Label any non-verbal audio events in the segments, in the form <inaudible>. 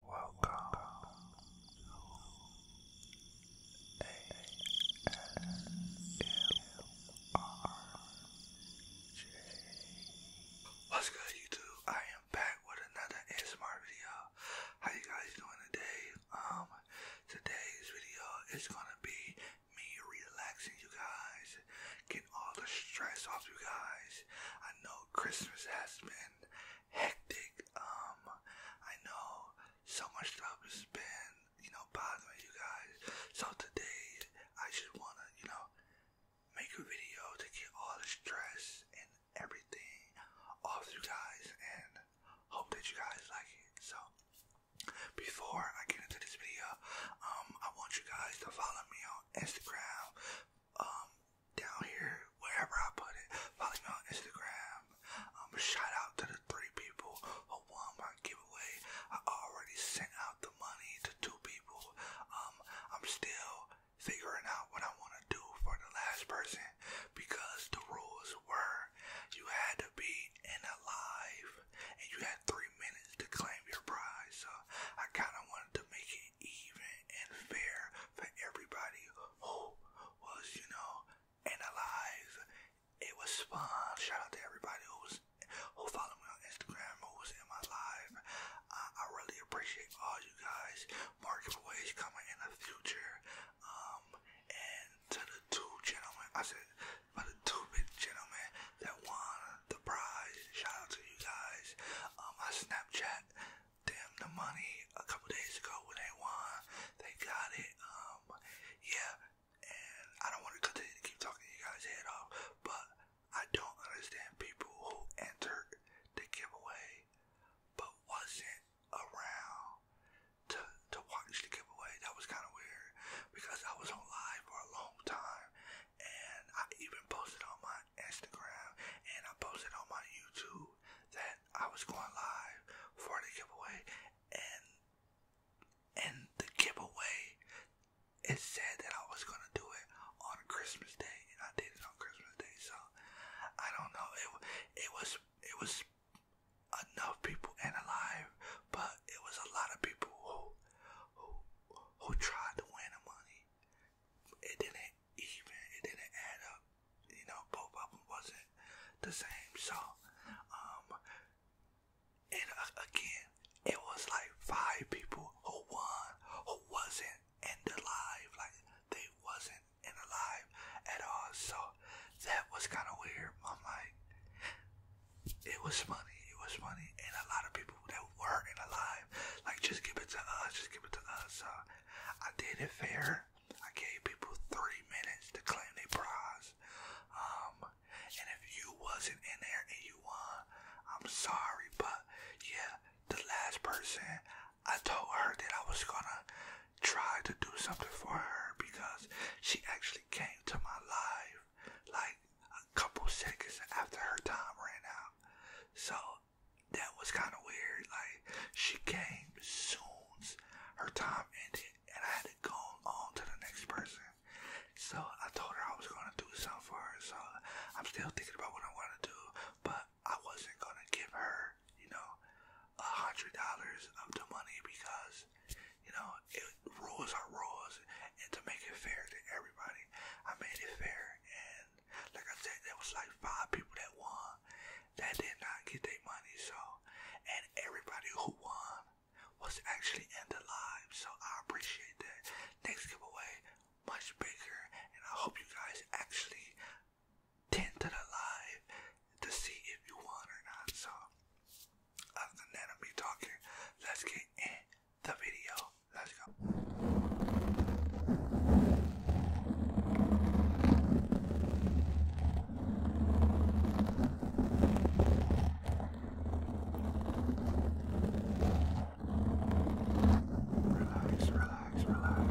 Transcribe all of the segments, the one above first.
What's good, YouTube? I am back with another ASMR video. How you guys doing today? Um, today's video is gonna be me relaxing, you guys, get all the stress off you guys. I know Christmas has been hectic. Um, I know so much stuff has been, you know, bothering you guys. So today, I just wanna, you know, make a video to get all the stress and everything off you guys, and hope that you guys like it. So, before I get into this video, um, I want you guys to follow me on Instagram, um, down here, wherever I put it. Follow me on Instagram. Um, shout out to the three people who won my giveaway. I already sent out the money to two people. Um, I'm still figuring out what I want to do for the last person because the rules were you had to be in alive and you had three minutes to claim your prize. So I kind of wanted to make it even and fair for everybody who was, you know, analyzed. It was fun. Shout out to everybody who was who followed me on Instagram, who was in my live. I, really appreciate all you guys. ways coming in the future. Um, and to the two gentlemen, I said, but the two big gentlemen that won the prize, shout out to you guys. on um, my Snapchat them the money a couple days ago when they won. They got it. Um, yeah, and I don't want to keep talking you guys' head off, but I don't understand people who entered the giveaway but wasn't around to to watch the giveaway. That was kind of weird because I was on live for a long time, and I even posted on my Instagram and I posted on my YouTube that I was going live for the giveaway and and the giveaway it said that I was gonna do it on Christmas Day and I did it on Christmas Day so I don't know it it was it was enough people and alive but it was a lot of people who who who tried to win the money it didn't even. It didn't add up. You know, both of them wasn't the same. So, um, and uh, again, it was like five people who won, who wasn't in the live. Like, they wasn't in the at all. So, that was kind of weird. I'm like, it was funny. It was funny. And a lot of people that were in the live, like, just give it to us. Just give it to us. I did it fair. I gave people three minutes to claim their prize. Um, and if you wasn't in there and you won, I'm sorry, but yeah, the last person, I told her that I was gonna try to do something for her because she actually came to my life like a couple seconds after her time ran out. So that was kind of weird. Like, she came soon. Her time ended, and I had to go on to the next person. So I told her I was going to do something for her. So I'm still thinking about what I want to do, but I wasn't going to give her, you know, a hundred dollars of the money because, you know, it, rules are rules. And to make it fair to everybody, I made it fair and and like I said, there was like five people that won that did not get their money. So, and everybody who won was actually in the live. So I appreciate that. Next giveaway, much bigger, and I hope you guys actually tend to the live to see if you won or not. So, other than that, I'm be talking. Let's get in the video. Let's go. Relax, relax, relax.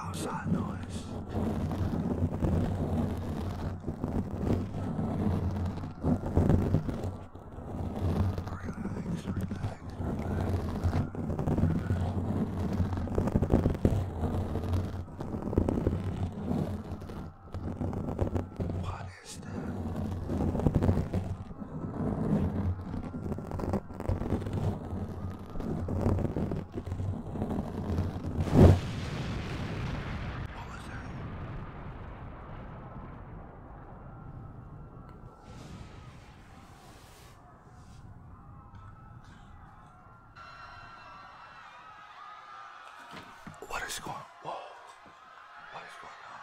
outside noise. Relax, relax, What is that? What is going whoa? What is going on?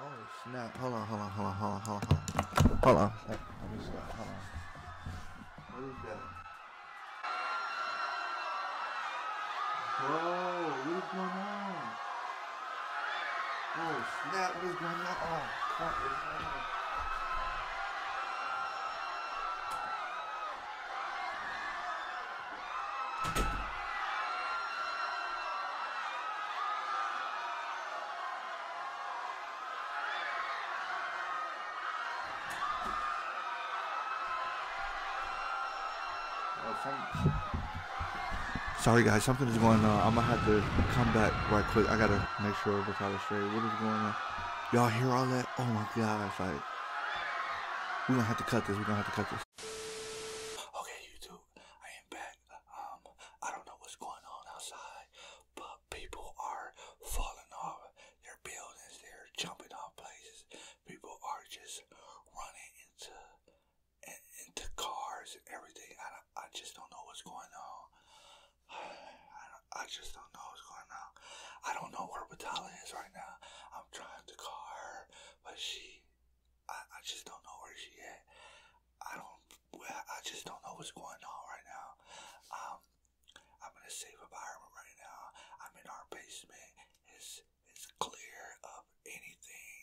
Oh snap, hold on, hold on, hold on, hold on, hold on, hold on. Hold on. Hold on. Hold on. What is that? Whoa, what is going on? Oh snap, what is going on? Oh crap, what is going on? Oh, Sorry guys, something is going on. I'm gonna have to come back right quick. I gotta make sure everything's all straight. What is going on? Y'all hear all that? Oh my gosh, like we're gonna have to cut this. We're gonna have to cut this. Okay, YouTube, I am back. Um, I don't know what's going on outside, but People are falling off their buildings, they're jumping off places. People are just running into into cars and everything. I, I just don't know what's going on. <sighs> I, I just don't know what's going on. I don't know where Batala is right now. I'm trying to call her, but she, I, I just don't know where she at. I don't. I just don't know what's going on right now. Um, I'm in a safe environment right now. I'm in our basement. It's it's clear of anything.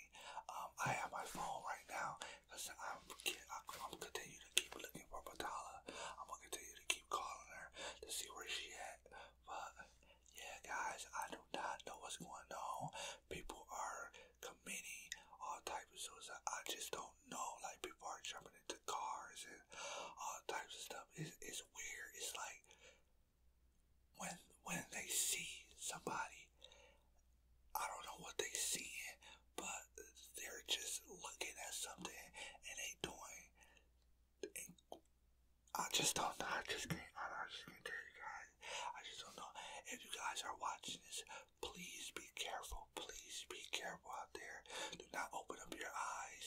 Um, I have my phone right now because I'm I'm continue to keep looking for Batala. I'm gonna continue to keep calling her to see where she at. But yeah, guys, I do not know what's going on. People are committing all types of suicide. I just don't know. Like people are jumping into cars and all types of stuff. It's, it's weird. It's like when when they see somebody, I don't know what they seeing, but they're just looking at something and they doing. I just don't know. I just can't. I just can't tell you guys. I just don't know if you guys are watching this Please be careful. Please be careful out there. Do not open up your eyes.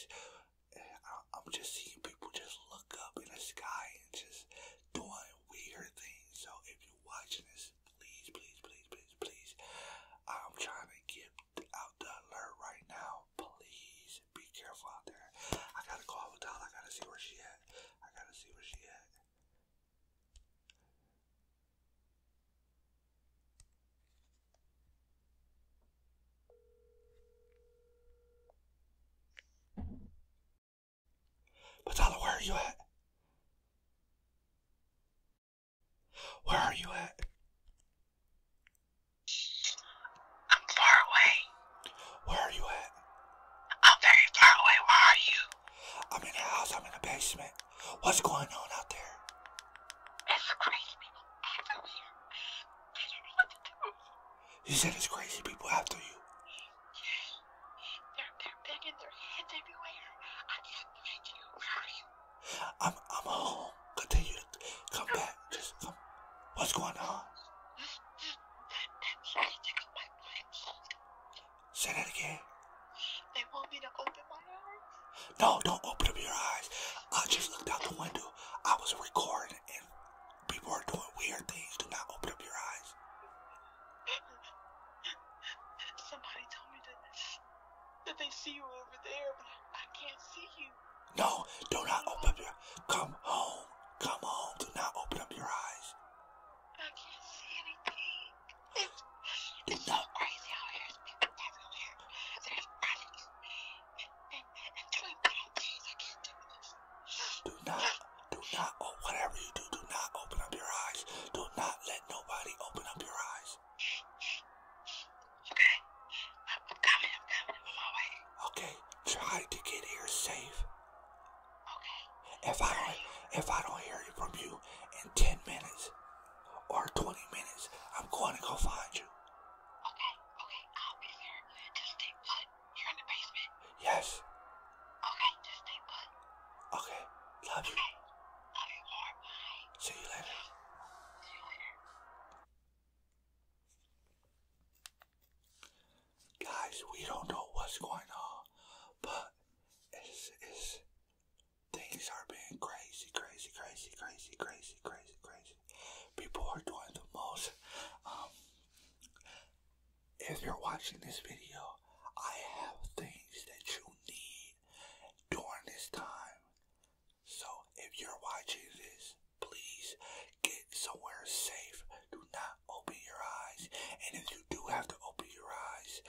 Eh, I'm just seeing people just look up in the sky and just doing weird things. So if you're watching this, please, please, please, please, please. I'm trying to get out the alert right now. Please be careful out there. I gotta call Adele. I gotta see where she at. I gotta see where she at. But where are you at? Where are you at? I'm far away. Where are you at? I'm very far away. Where are you? I'm in the house. I'm in the basement. What's going on out there? It's crazy people after me. You said it's crazy people after you. They're, they're banging their heads everywhere. I can't you? I'm, I'm home. Continue to come back. Just come. What's going on? Say that again. No, don't open up your eyes. I just looked out the window. I was recording and people are doing weird things. Do not open up your eyes. <laughs> Somebody told me that, that they see you over there, but I can't see you. No, do not open up your Come home. Come home. Do not open up your eyes. I can't see anything do not, do not, oh, whatever you do, do not open up your eyes. Do not let nobody open up your eyes. Okay. I'm, coming, I'm coming. I'm on my way. Okay. Try to get here safe. Okay. If I if I don't hear from you in 10 minutes, or 20 minutes. I'm going to go find you. Okay, okay, I'll be there. Just stay put. You're in the basement? Yes. Okay, just stay put. Okay, love you. Love you more. See you later. See you later. Guys, we don't know what's going on, but it's, Things are being crazy, crazy, crazy, crazy, crazy, crazy, crazy. People are doing the most. Um, if you're watching this video, I have things that you need during this time. So if you're watching this, please get somewhere safe. Do not open your eyes. And if you do have to open your eyes,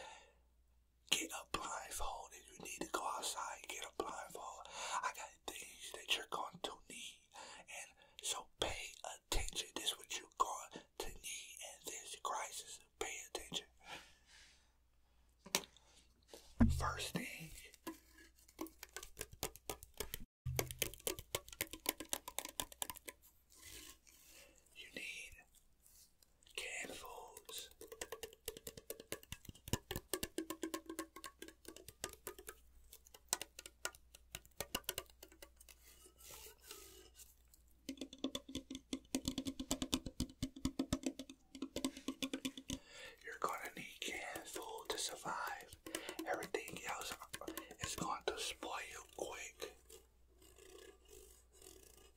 get a blindfold if you need to go outside, get a blindfold. I got things that you're going to need. And so pay attention. This is what you're going to need in this crisis. Pay attention. First thing. You need Canned foods. You're gonna need canned food to survive. Everything else is going to spoil quick.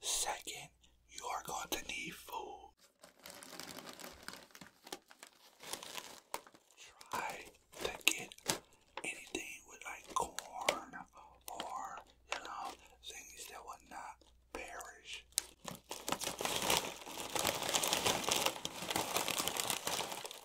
Second, you are going to need food. Try to get anything with like corn or, you know, things that will not perish.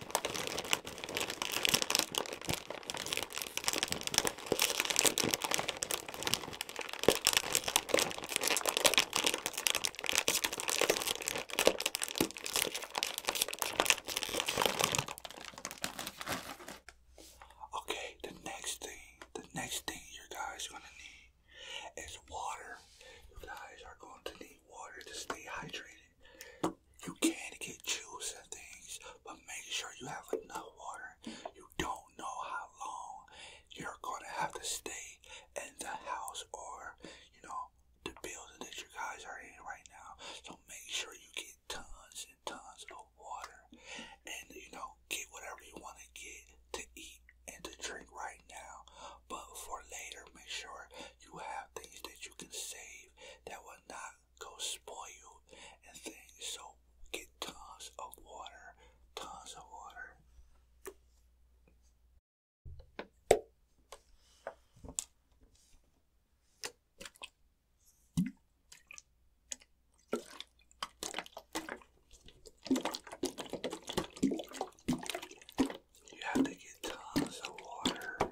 Okay, the next thing, the next thing you guys are gonna need is water. You guys are going to need water to stay hydrated. You can get juice and things, but make sure you have enough water. You don't know how long you're going to have to stay in the house or, you know, the building that your guys are in right now. So make sure you get tons and tons of water and, you know, get whatever you want to get to eat and to drink right now. But for later, make sure you have things that you can save that will not go spoil you and things. So get tons of water, tons of water. You have to get tons of water.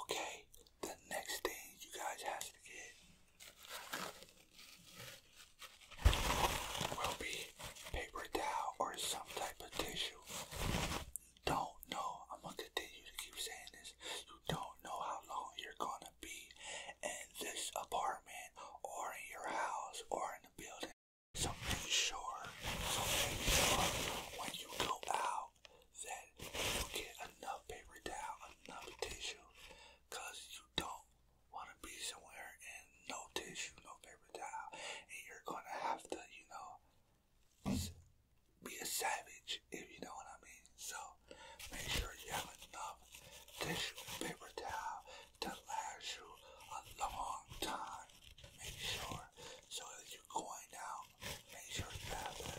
Okay, the next thing you guys have to get will be paper towel or some type of tissue. Don't know. I'm gonna continue to keep saying this. You don't know how long you're gonna be in this apartment or in your house or in the building. So make sure, so make sure when you go out that you get enough paper towel, enough tissue, you don't want to be somewhere and no tissue, no paper towel, and you're gonna have to, you know, be a savage if you know what I mean. So make sure you have enough tissue, paper towel to last you a long time. Make sure so if you're going out, make sure you have that.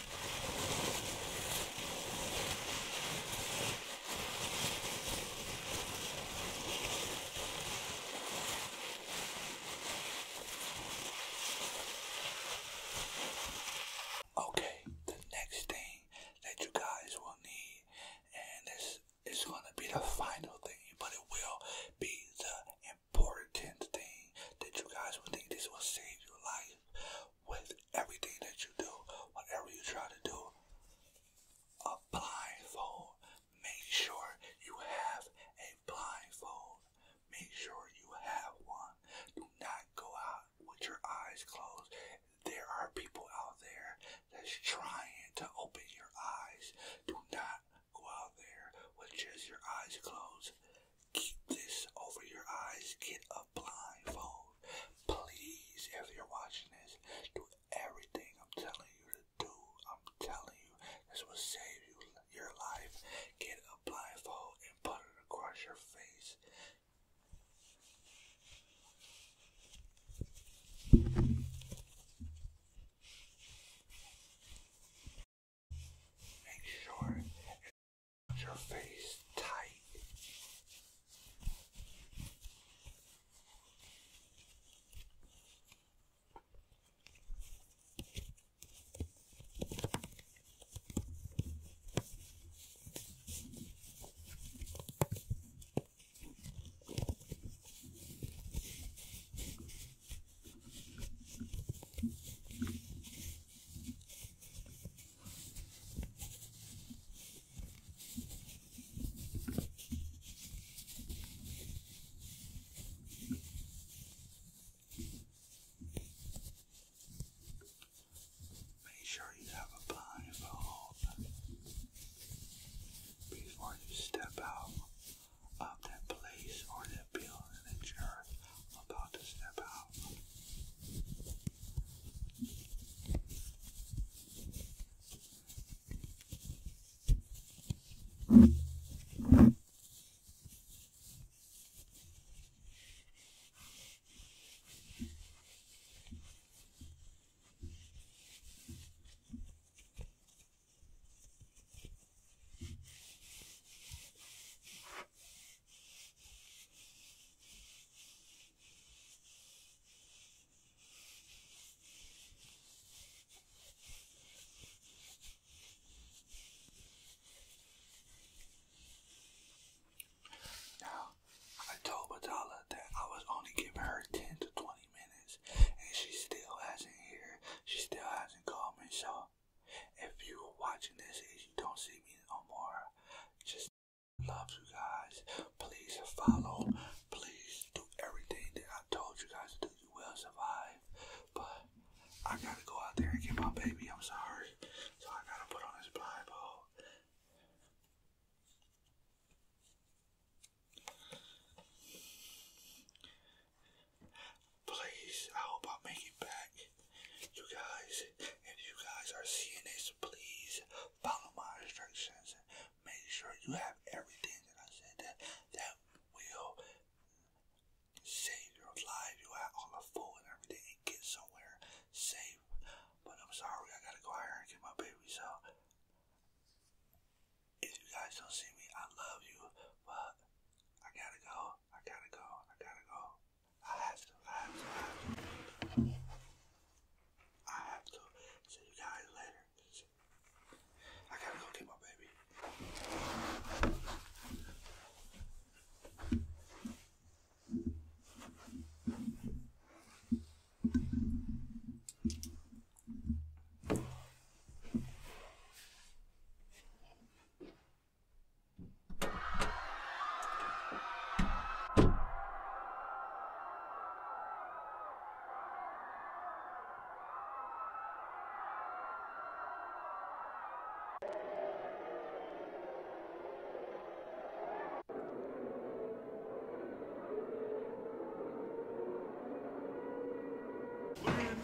Okay, the next thing that you guys will need, and this is gonna be the final thing, but it will be the important thing that you guys will think this will save your life with everything that you do, whatever you try to do. A blindfold. Make sure you have a blindfold. Make sure you have one. Do not go out with your eyes closed. There are people out there that's trying to open your eyes. Do not go out there with just your eyes closed. Keep this over your eyes. Get a blindfold. Please, if you're watching this, do everything I'm telling you to do. I'm telling you, this will save you your life. Get a blindfold and put it across your face. Make sure it's your face tight. Make sure you have a blind bulb before you step out of that place or that building that you I'm about to step out. I told Badala that I was only giving her 10 to 20 minutes, and she still hasn't here. She still hasn't called me, so if you're watching this if you don't see me no more, just love you guys. Please follow. Please do everything that I told you guys to do. You will survive. But I gotta go out there and get my baby. I'm sorry. So I gotta put on this blindfold. Please, I hope i make it back. You guys, if you guys are seeing this, please follow my instructions. Make sure you have everything that I said that, that will save your life. You have all the food and everything get somewhere safe. But I'm sorry, I gotta go here and get my baby, so if you guys don't see me, I love you, but I gotta go, I gotta go, I gotta go. I have to, I have to, I have to. I have to. See you guys later. I gotta go my baby.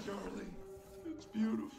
Charlie, it's beautiful.